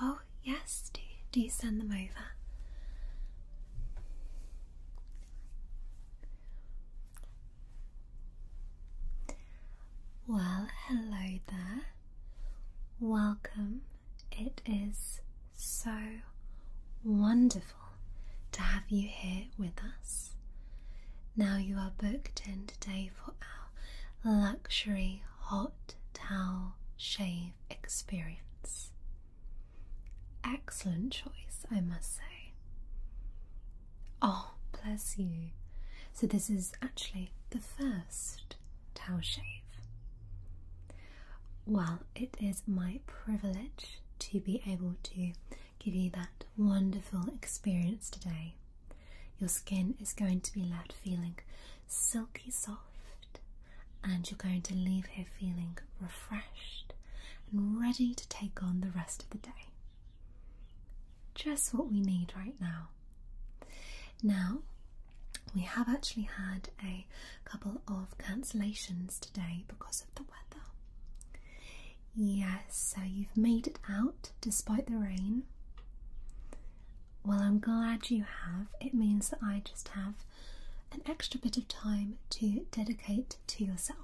Oh, yes, do, do you send them over? Well, hello there. Welcome. It is so wonderful to have you here with us. Now you are booked in today for our luxury hot towel shave experience. Excellent choice, I must say. Oh, bless you. So, this is actually the first towel shave. Well, it is my privilege to be able to give you that wonderful experience today. Your skin is going to be left feeling silky soft, and you're going to leave here feeling refreshed and ready to take on the rest of the day. Just what we need right now. Now, we have actually had a couple of cancellations today because of the weather. Yes, so you've made it out despite the rain. Well, I'm glad you have. It means that I just have an extra bit of time to dedicate to yourself.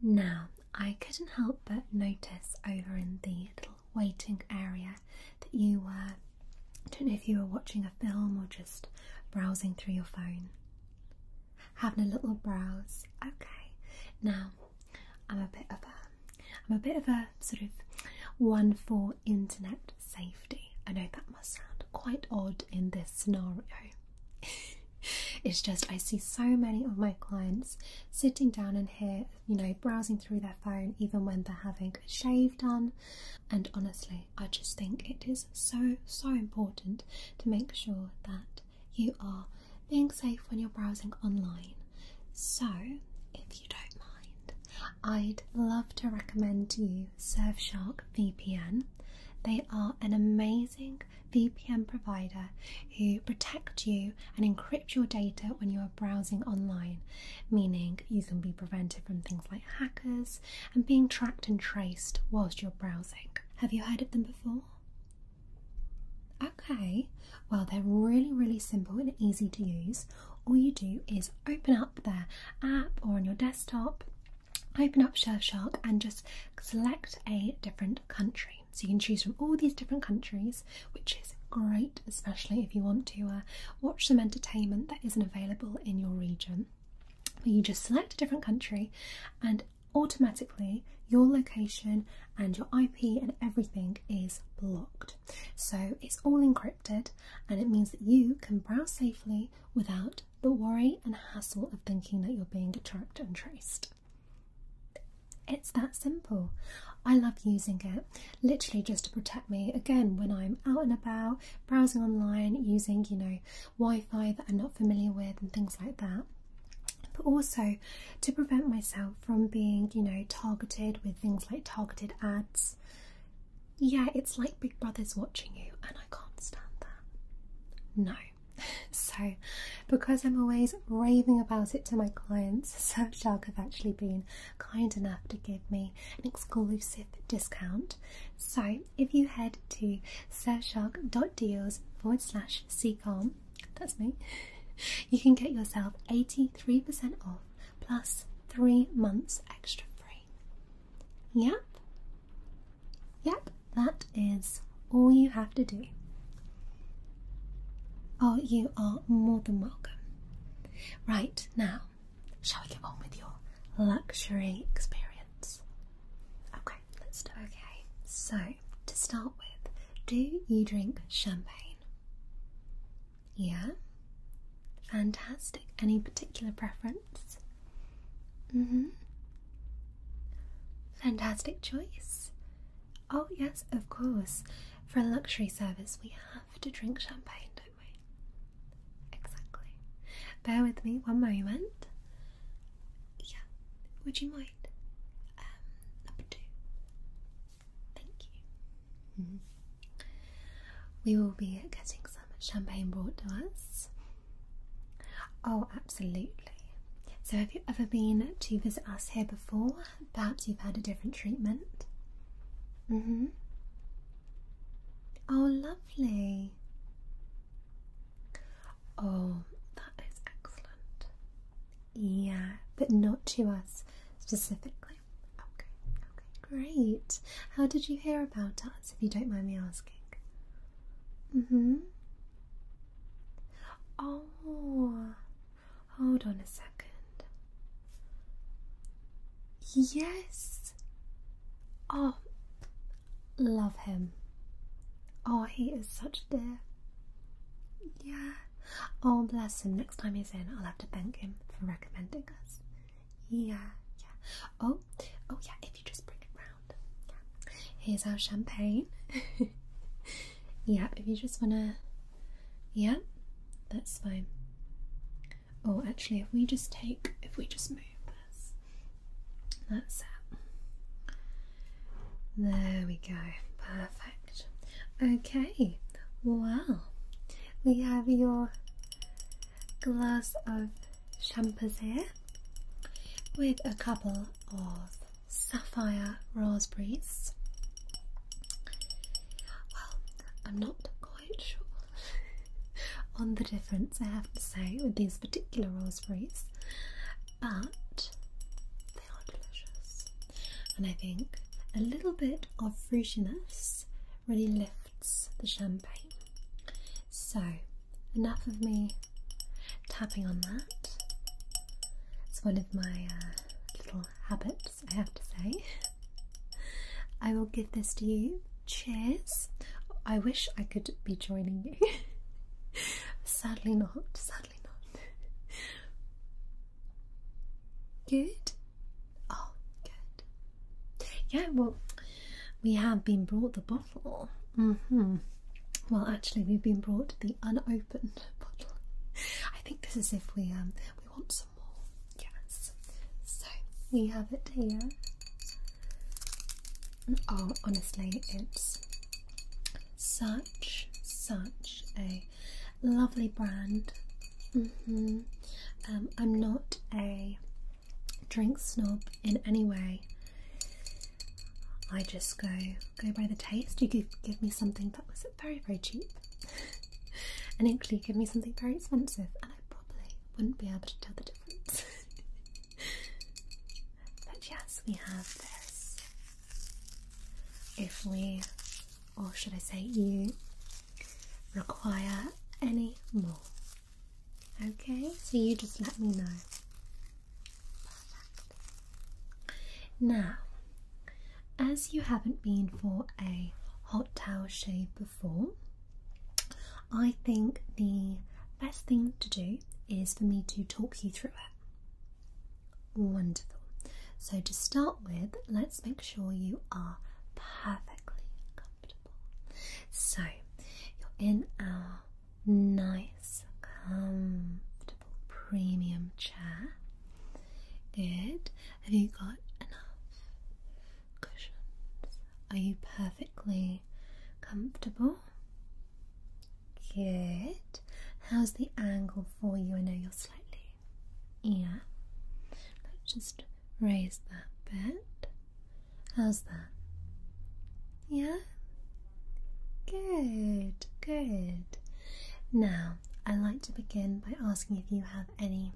Now, I couldn't help but notice over in the little waiting area that you were, I don't know if you were watching a film or just browsing through your phone. Having a little browse. Okay. Now, I'm a bit of a I'm a bit of a sort of one for internet safety. I know that must sound quite odd in this scenario. it's just I see so many of my clients sitting down in here, you know, browsing through their phone even when they're having a shave done. And honestly, I just think it is so, so important to make sure that you are being safe when you're browsing online. So if you don't mind, I'd love to recommend to you Surfshark VPN. They are an amazing VPN provider who protect you and encrypt your data when you are browsing online, meaning you can be prevented from things like hackers and being tracked and traced whilst you're browsing. Have you heard of them before? Okay, well, they're really, really simple and easy to use. All you do is open up their app or on your desktop, open up Surfshark, and just select a different country. So you can choose from all these different countries, which is great, especially if you want to uh, watch some entertainment that isn't available in your region. But you just select a different country and automatically your location and your IP and everything is blocked. So it's all encrypted and it means that you can browse safely without the worry and hassle of thinking that you're being tracked and traced. It's that simple. I love using it literally just to protect me again when I'm out and about, browsing online, using, you know, Wi Fi that I'm not familiar with and things like that. But also to prevent myself from being, you know, targeted with things like targeted ads. Yeah, it's like Big Brother's watching you, and I can't stand that. No. So, because I'm always raving about it to my clients, Surfshark have actually been kind enough to give me an exclusive discount. So, if you head to surfshark.deals forward slash ccom that's me, you can get yourself 83% off plus three months extra free. Yep, yep, that is all you have to do. Oh, you are more than welcome. Right now, shall we get on with your luxury experience? Okay, let's do it. Okay, so to start with, do you drink champagne? Yeah? Fantastic. Any particular preference? Mm hmm. Fantastic choice. Oh, yes, of course. For a luxury service, we have to drink champagne, don't we? Exactly. Bear with me one moment. Yeah, would you mind? Um, number two. Thank you. Mm-hmm. We will be getting some champagne brought to us. Oh, absolutely. So, have you ever been to visit us here before? Perhaps you've had a different treatment. Mm hmm. Oh, lovely. Oh, that is excellent. Yeah, but not to us specifically. Okay, okay, great. How did you hear about us, if you don't mind me asking? Mm hmm. Oh, hold on a second. Yes. Oh, love him. Oh, he is such a dear. Yeah. Oh, bless him. Next time he's in, I'll have to thank him for recommending us. Yeah, yeah. Oh, oh, yeah, if you just bring it round. Yeah. Here's our champagne. yeah, if you just want to. Yeah, that's fine. Oh, actually, if we just take. If we just move this. That's it. There we go. Perfect. Okay, wow. We have your glass of champagne with a couple of sapphire raspberries. Well, I'm not quite sure on the difference, I have to say, with these particular raspberries, but they are delicious and I think a little bit of fruitiness really lifts the champagne. So, enough of me tapping on that. It's one of my uh, little habits, I have to say. I will give this to you. Cheers. I wish I could be joining you. sadly not, sadly not. Good? Oh, good. Yeah, well, we have been brought the bottle. hmm. Well, actually, we've been brought the unopened bottle. I think this is if we um we want some more. Yes. So we have it here. Oh, honestly, it's such such a lovely brand. Mm-hmm. Um, I'm not a drink snob in any way. I just go go by the taste. You could give me something that was very very cheap, and equally give me something very expensive, and I probably wouldn't be able to tell the difference. but yes, we have this if we, or should I say you, require any more. Okay, so you just let me know. Now, as you haven't been for a hot towel shave before, I think the best thing to do is for me to talk you through it. Wonderful. So, to start with, let's make sure you are perfectly comfortable. So, you're in our nice, comfortable premium chair. Good. Have you got enough cushions? Are you perfectly comfortable? Good. How's the angle for you? I know you're slightly. Yeah. Let's just raise that bit. How's that? Yeah? Good, good. Now, I like to begin by asking if you have any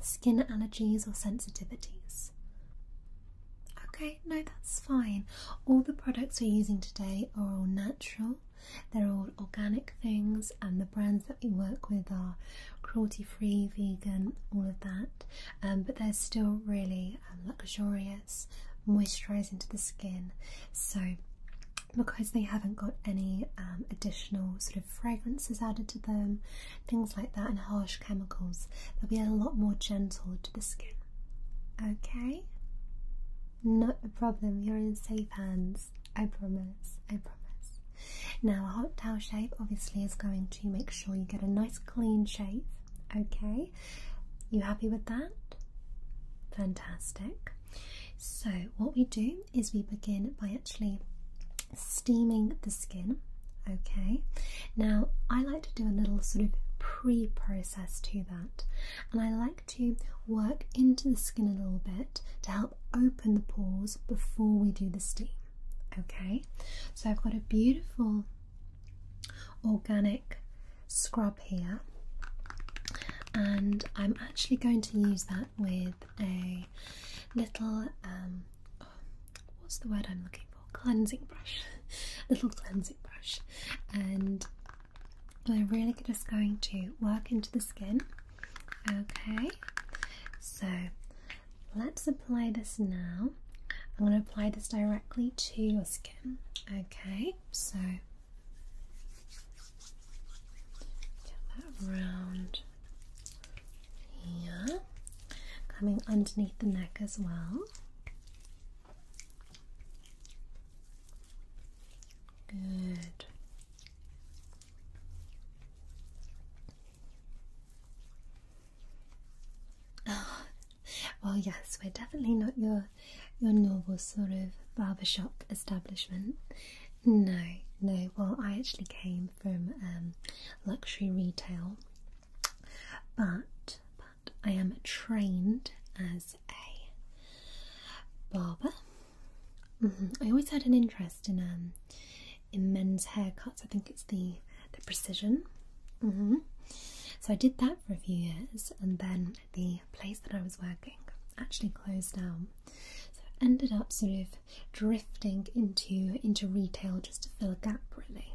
skin allergies or sensitivities. Okay, no, that's fine. All the products we're using today are all natural. They're all organic things, and the brands that we work with are cruelty free, vegan, all of that. Um, but they're still really um, luxurious, moisturising to the skin. So, because they haven't got any um, additional sort of fragrances added to them, things like that, and harsh chemicals, they'll be a lot more gentle to the skin. Okay? Not a problem, you're in safe hands. I promise, I promise. Now, a hot towel shave obviously is going to make sure you get a nice clean shave, okay? You happy with that? Fantastic. So, what we do is we begin by actually steaming the skin, okay? Now, I like to do a little sort of pre process to that, and I like to work into the skin a little bit to help open the pores before we do the steam. Okay, so I've got a beautiful organic scrub here, and I'm actually going to use that with a little um, what's the word I'm looking for? Cleansing brush, little cleansing brush, and we're really just going to work into the skin. Okay, so let's apply this now. I'm going to apply this directly to your skin. Okay, so get that around here, coming underneath the neck as well. Good. Oh, well, yes, we're definitely not your your normal sort of barbershop establishment. No, no. Well, I actually came from um, luxury retail, but I am trained as a barber. Mm-hmm. I always had an interest in um, in men's haircuts. I think it's the the precision. Mm-hmm. So I did that for a few years, and then the place that I was working actually closed down. So I ended up sort of drifting into into retail just to fill a gap, really.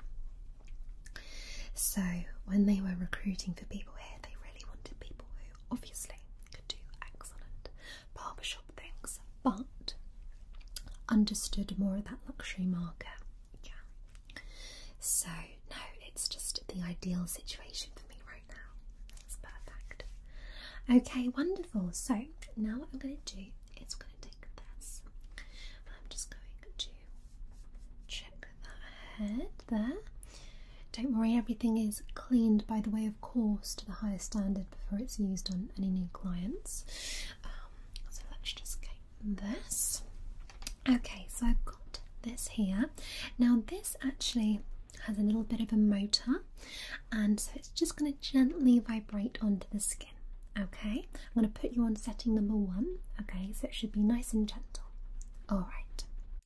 So when they were recruiting for people here, they really wanted people obviously could do excellent barbershop things but understood more of that luxury market. Yeah. So, no, it's just the ideal situation for me right now. It's perfect. Okay, wonderful. So, now what I'm going to do is we're going to take this I'm just going to check that head there. Don't worry, everything is cleaned by the way, of course, to the highest standard before it's used on any new clients. Um, so let's just get this. Okay, so I've got this here. Now, this actually has a little bit of a motor, and so it's just going to gently vibrate onto the skin. Okay, I'm going to put you on setting number one. Okay, so it should be nice and gentle. All right.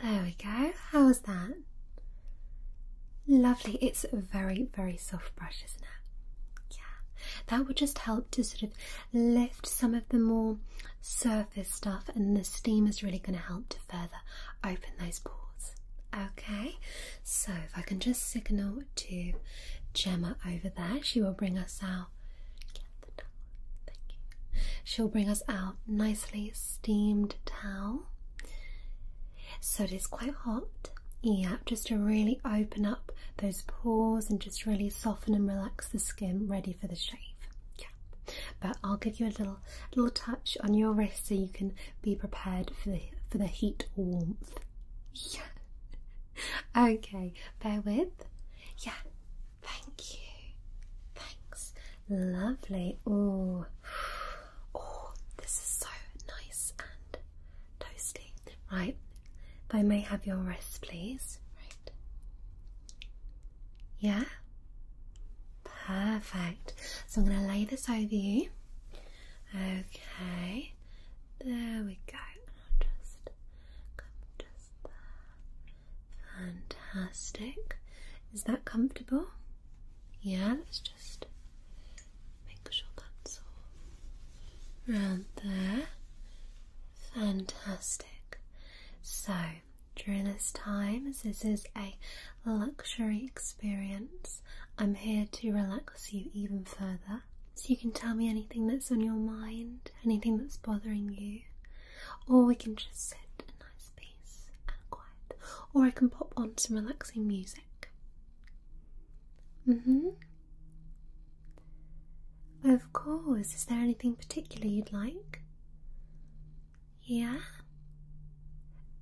There we go. How was that? Lovely. It's very, very soft brush, isn't it? Yeah, that would just help to sort of lift some of the more surface stuff, and the steam is really going to help to further open those pores. Okay, so if I can just signal to Gemma over there, she will bring us out. Get the towel, thank you. She'll bring us out nicely steamed towel. So it is quite hot. Yeah, just to really open up those pores and just really soften and relax the skin ready for the shave. Yeah. But I'll give you a little little touch on your wrist so you can be prepared for the for the heat or warmth. Yeah. Okay, bear with. Yeah, thank you. Thanks. Lovely. Oh, oh, this is so nice and toasty. Right, if I may have your wrist, please. Right. Yeah? Perfect. So I'm going to lay this over you. Okay, there we go. Fantastic. Is that comfortable? Yeah, let's just make sure that's all around there. Fantastic. So, during this time, this is a luxury experience, I'm here to relax you even further. So, you can tell me anything that's on your mind, anything that's bothering you, or we can just sit in nice peace and quiet, or I can pop on some relaxing music. Mm hmm. Of course. Is there anything particular you'd like? Yeah?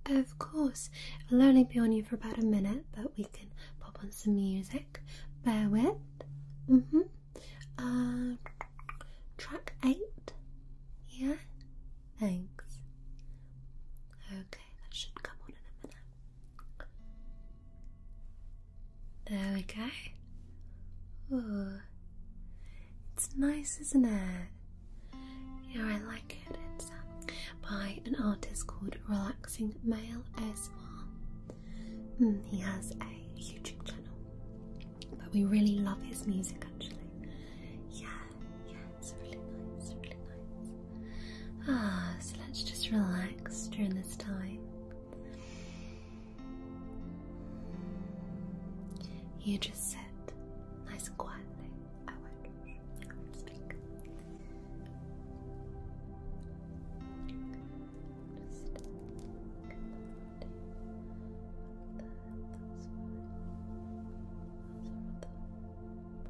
Of course. I'll only be on you for about a minute, but we can pop on some music. Bear with. Mm hmm. Uh, track 8. Yeah? Thanks that should come on in a minute. There we go. It's nice, isn't it? Yeah, I like it. It's um, by an artist called Relaxing Male ASMR. Mm, he has a YouTube channel, but we really love his music actually. yeah nice, really nice, really nice. Ah, so let's just relax during this time. You just sit nice and quietly. I won't, I won't speak.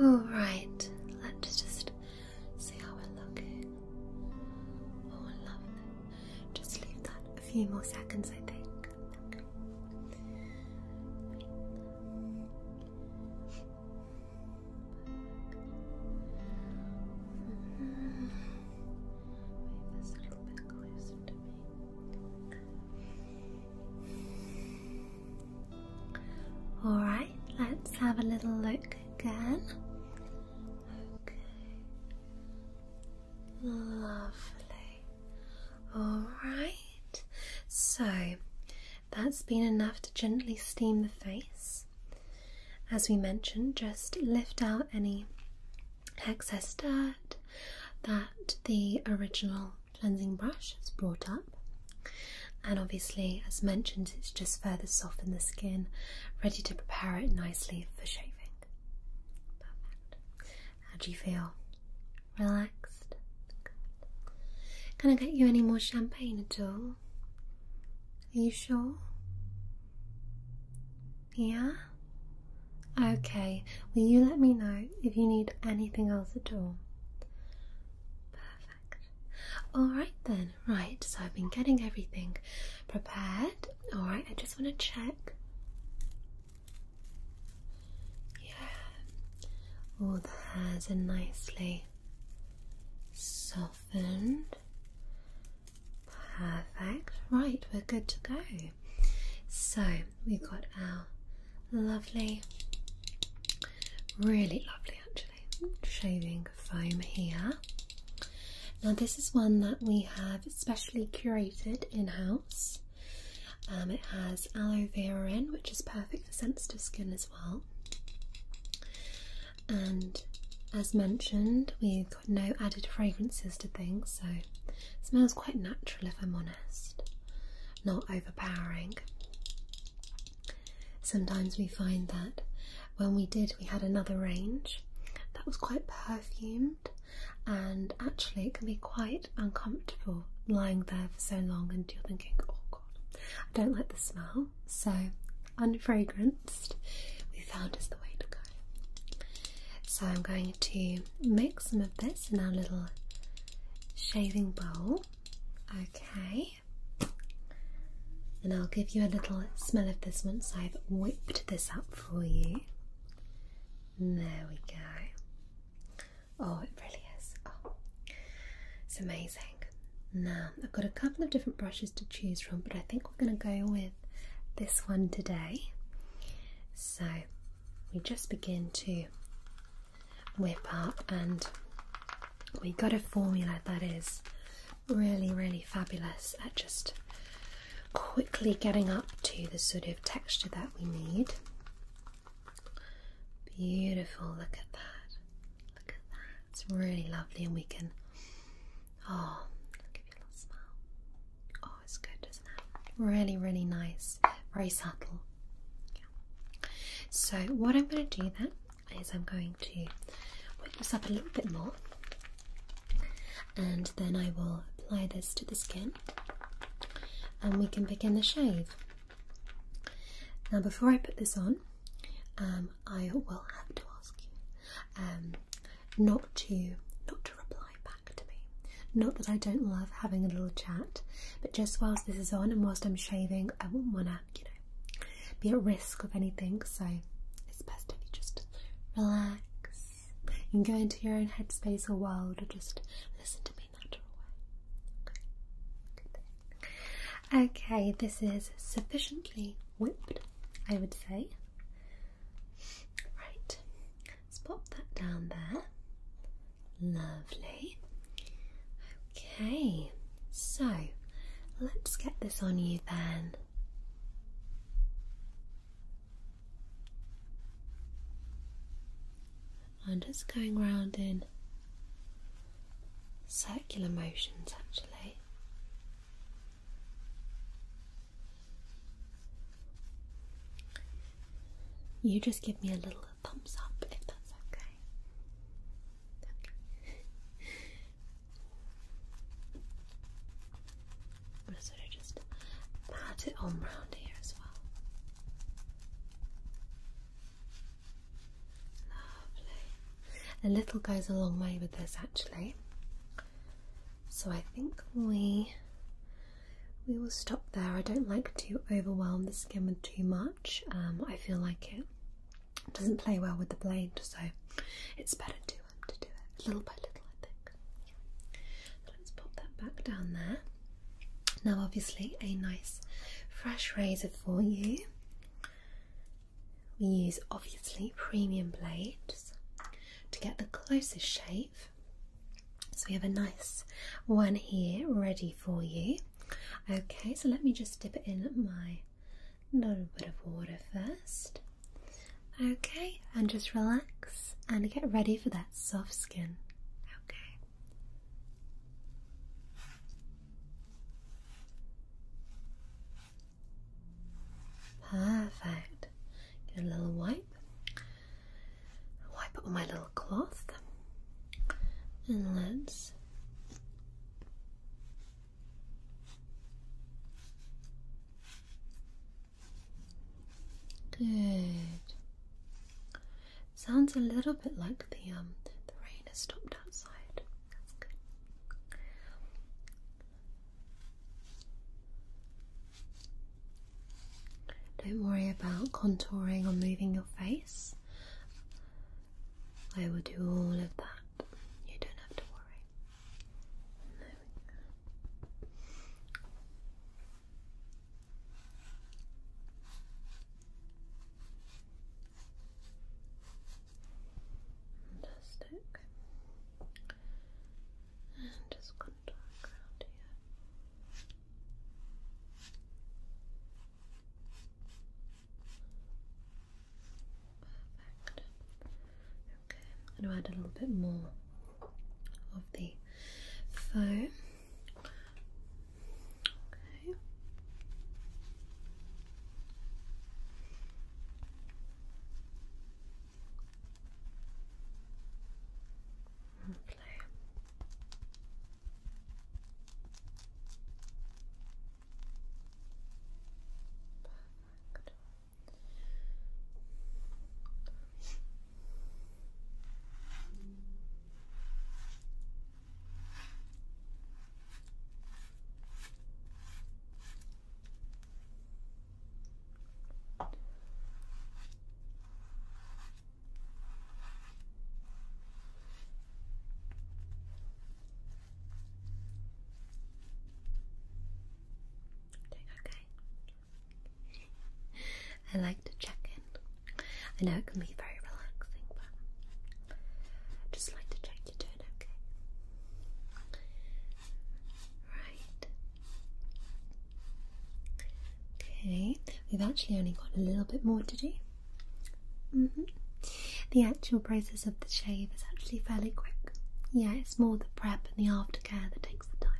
Alright, let's just see how we're looking. Oh, lovely. Just leave that a few more seconds, I think. Mm-hmm. All right, let's have a little look again. Lovely. All right. So, that's been enough to gently steam the face. As we mentioned, just lift out any excess dirt that the original cleansing brush is brought up. And obviously, as mentioned, it's just further soften the skin, ready to prepare it nicely for shaving. How do you feel? Relaxed? Good. Can I get you any more champagne at all? Are you sure? Yeah? Okay, will you let me know if you need anything else at all? Perfect. Alright then, right, so I've been getting everything prepared. Alright, I just want to check. Yeah, all the hairs are nicely softened. Perfect. Right, we're good to go. So we've got our lovely, really lovely actually, shaving foam here. Now, this is one that we have specially curated in house. Um, it has aloe vera in, which is perfect for sensitive skin as well. And as mentioned, we've got no added fragrances to things, so smells quite natural, if I'm honest, not overpowering. Sometimes we find that when we did, we had another range that was quite perfumed, and actually, it can be quite uncomfortable lying there for so long, and you're thinking, oh god, I don't like the smell. So, unfragranced, we found is the way to go. So I'm going to make some of this in our little shaving bowl. Okay. And I'll give you a little smell of this once I've whipped this up for you. There we go. Oh, it really is. Oh, it's amazing. Now, I've got a couple of different brushes to choose from, but I think we're going to go with this one today. So we just begin to whip up and we have got a formula that is really really fabulous at just quickly getting up to the sort of texture that we need beautiful look at that look at that it's really lovely and we can oh give you a little smile Oh, it's good, isn't it? Really, really nice. Very subtle. Yeah. So, what I'm going to do then is I'm going to wake this up a little bit more and then I will apply this to the skin and we can begin the shave. Now, before I put this on, um, I will have to ask you um, not to not to reply back. Not that I don't love having a little chat, but just whilst this is on and whilst I'm shaving, I wouldn't want to, you know, be at risk of anything. So it's best if you just relax and go into your own headspace or world, or just listen to me natural way. Okay, okay this is sufficiently whipped, I would say. Right, let's pop that down there. Lovely. Okay, so let's get this on you then. I'm just going round in circular motions actually. You just give me a little thumbs up if that's okay. I'm sort of just pat it on round here as well. Lovely. A little goes a long way with this actually. So I think we we will stop there. I don't like to overwhelm the skin with too much. Um, I feel like it doesn't play well with the blade, so it's better to um, to do it little by little. I think. let's pop that back down there. Now, obviously, a nice fresh razor for you. We use obviously premium blades to get the closest shape. So we have a nice one here ready for you. Okay, so let me just dip it in my little bit of water first. Okay, and just relax and get ready for that soft skin. Okay. Perfect. Get a little wipe wipe it with my little cloth and let's good sounds a little bit like the um the rain has stopped outside that's good don't worry about contouring or moving your face. I will do all of that. You don't have to worry. There we and just contour around here. Perfect. Okay, I'm going to add a little bit more of the foam. Okay. Lovely. Perfect. Perfect okay. I like to check in. I know it can be very relaxing, but I just like to check you're doing okay. Right. Okay, we've actually only got a little bit more to do. Mm-hmm. The actual process of the shave is actually fairly quick. Yeah, it's more the prep and the aftercare that takes the time.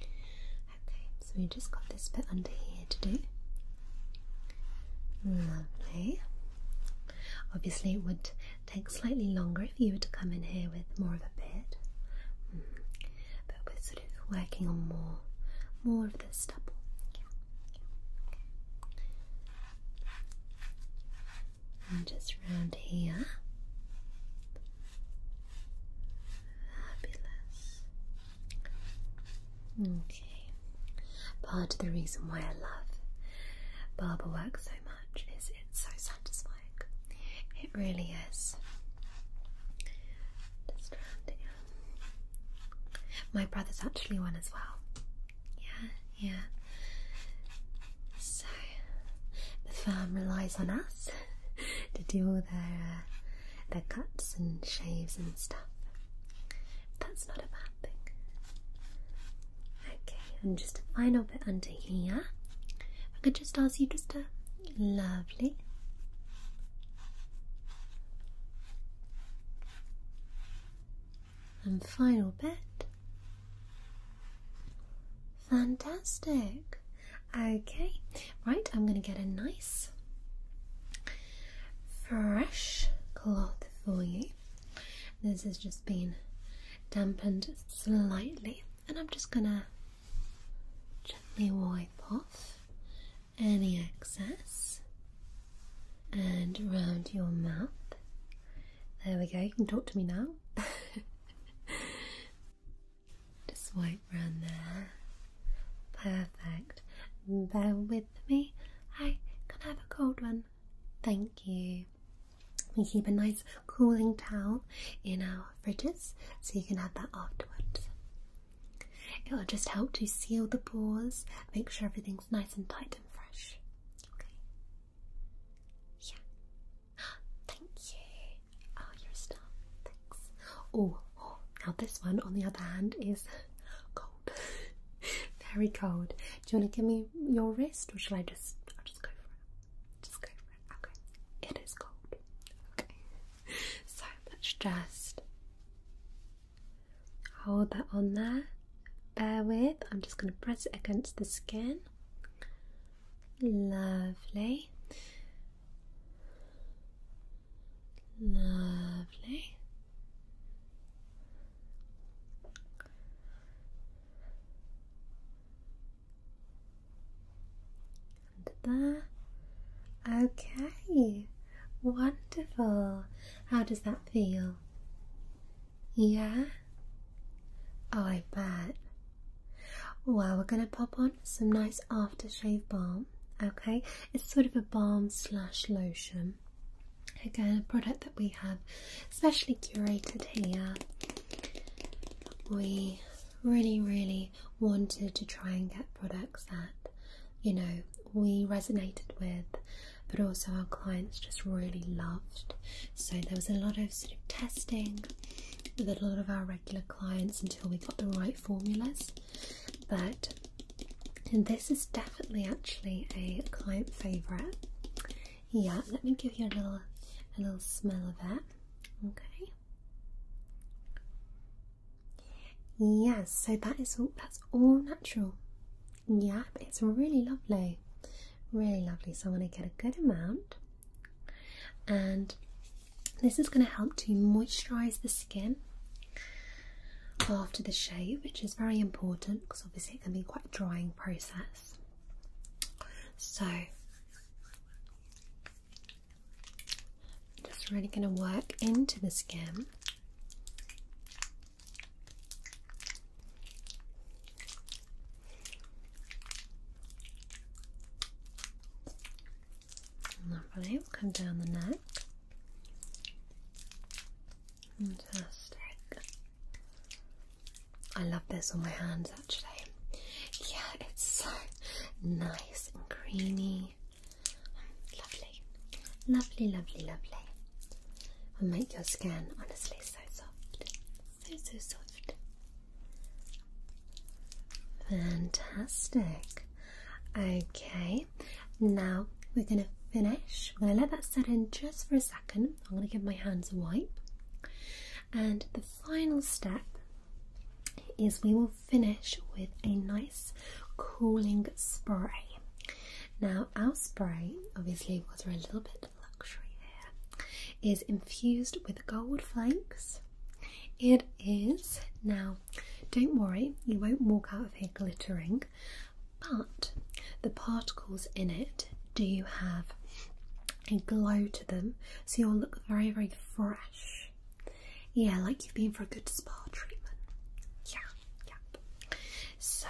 Okay, so we just got this bit under here to do. Lovely. Obviously, it would Take slightly longer if you were to come in here with more of a beard, mm. but we're sort of working on more, more of the stubble. And just round here. Fabulous. Okay. Part of the reason why I love barber work so much is it's so satisfying. It really is. Just rounding up. My brother's actually one as well. Yeah, yeah. So the firm relies on us to do all their uh, their cuts and shaves and stuff. That's not a bad thing. Okay, and just a final bit under here. I could just ask you just a lovely. And final bit. Fantastic. Okay, right, I'm going to get a nice fresh cloth for you. This has just been dampened slightly and I'm just gonna gently wipe off any excess and round your mouth. There we go, you can talk to me now. just wipe round there. Perfect. Bear with me. I can have a cold one. Thank you. We keep a nice cooling towel in our fridges so you can have that afterwards. It will just help to seal the pores, make sure everything's nice and tight and fresh. Okay. Yeah. Thank you. Oh, you're a star. Thanks. Oh, oh, now this one, on the other hand, is cold. Very cold. Do you want to give me your wrist, or shall I just? I'll just go for it. Just go for Okay, it is cold. Okay, so let's just hold that on there. Bear with, I'm just going to press it against the skin. Lovely. Lovely. Under there. Okay, wonderful. How does that feel? Yeah? Oh, I bet. Well, we're going to pop on some nice aftershave balm. Okay, it's sort of a balm slash lotion. Again, a product that we have especially curated here we really, really wanted to try and get products that, you know, we resonated with, but also our clients just really loved. So there was a lot of sort of testing with a lot of our regular clients until we got the right formulas. But this is definitely actually a client favourite. Yeah, let me give you a little a little smell of that. Okay. Yes, so that is all that's all natural. Yeah, it's really lovely. Really lovely. So I'm gonna get a good amount and this is going to help to moisturize the skin after the shave, which is very important because obviously it can be quite drying process. So just really going to work into the skin. Lovely, come down the neck. Fantastic. I love this on my hands actually. Yeah, it's so nice and creamy. Lovely, lovely, lovely, lovely. Will make your skin honestly so soft, so so soft. Fantastic. Okay, now we're gonna finish. I'm gonna let that set in just for a second. I'm gonna give my hands a wipe. And the final step is we will finish with a nice cooling spray. Now, our spray, obviously, was a little bit luxury here, is infused with gold flakes. It is now, don't worry, you won't walk out of here glittering, but the particles in it do have a glow to them, so you'll look very, very fresh. Yeah, like you've been for a good spa treatment. Yeah, yeah. So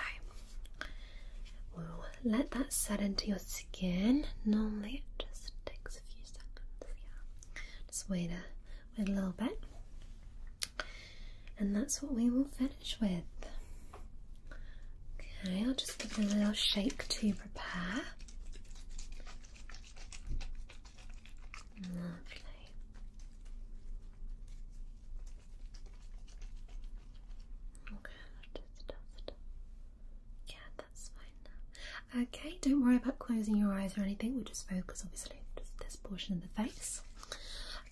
we'll let that set into your skin. Normally it just takes a few seconds. Yeah, just wait a wait a little bit, and that's what we will finish with. Okay, I'll just give it a little shake to prepare. Lovely. Okay, yeah, that's fine Okay, don't worry about closing your eyes or anything. We'll just focus, obviously, just this portion of the face.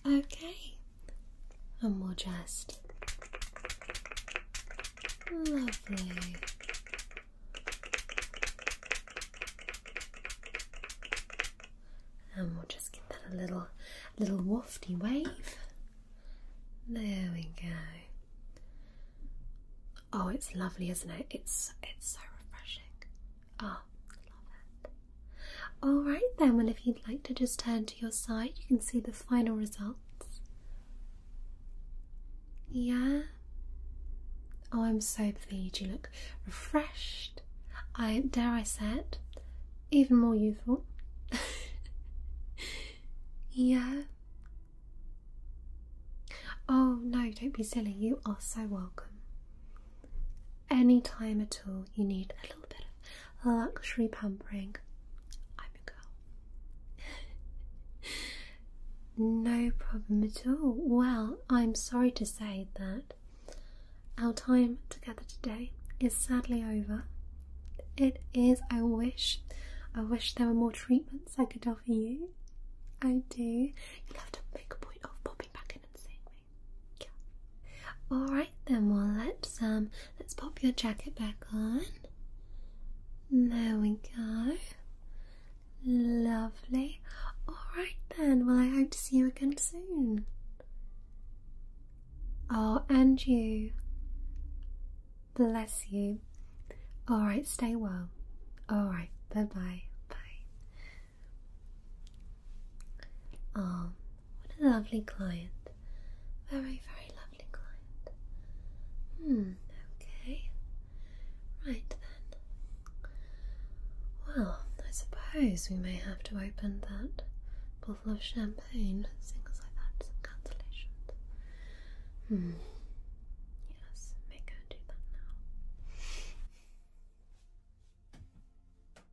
Okay, and we'll just Lovely. And we'll just give that a little, little wafty wave. There we go. Oh, it's lovely, isn't it? It's it's so refreshing. Ah, love it. All right then. Well, if you'd like to just turn to your side, you can see the final result. Yeah? Oh, I'm so pleased. You look refreshed. I dare I say it, even more youthful. yeah? Oh, no, don't be silly. You are so welcome. Any time at all, you need a little bit of luxury pampering. I'm your girl. no problem at all. Well, I'm sorry to say that our time together today is sadly over. It is, I wish. I wish there were more treatments I could offer you. I do. You'll have to make a point of popping back in and seeing me. Yeah. Alright then, We'll let's um Let's pop your jacket back on. There we go. Lovely. Alright Ben. well, I hope to see you again soon. Oh, and you. Bless you. Alright, stay well. Alright, bye bye. Bye. Oh. What a lovely client. Very, very lovely client. Hmm, okay. Right then. Well, I suppose we may have to open that bottle of champagne, things like that, some cancellations. Hmm. Yes, may go do that now.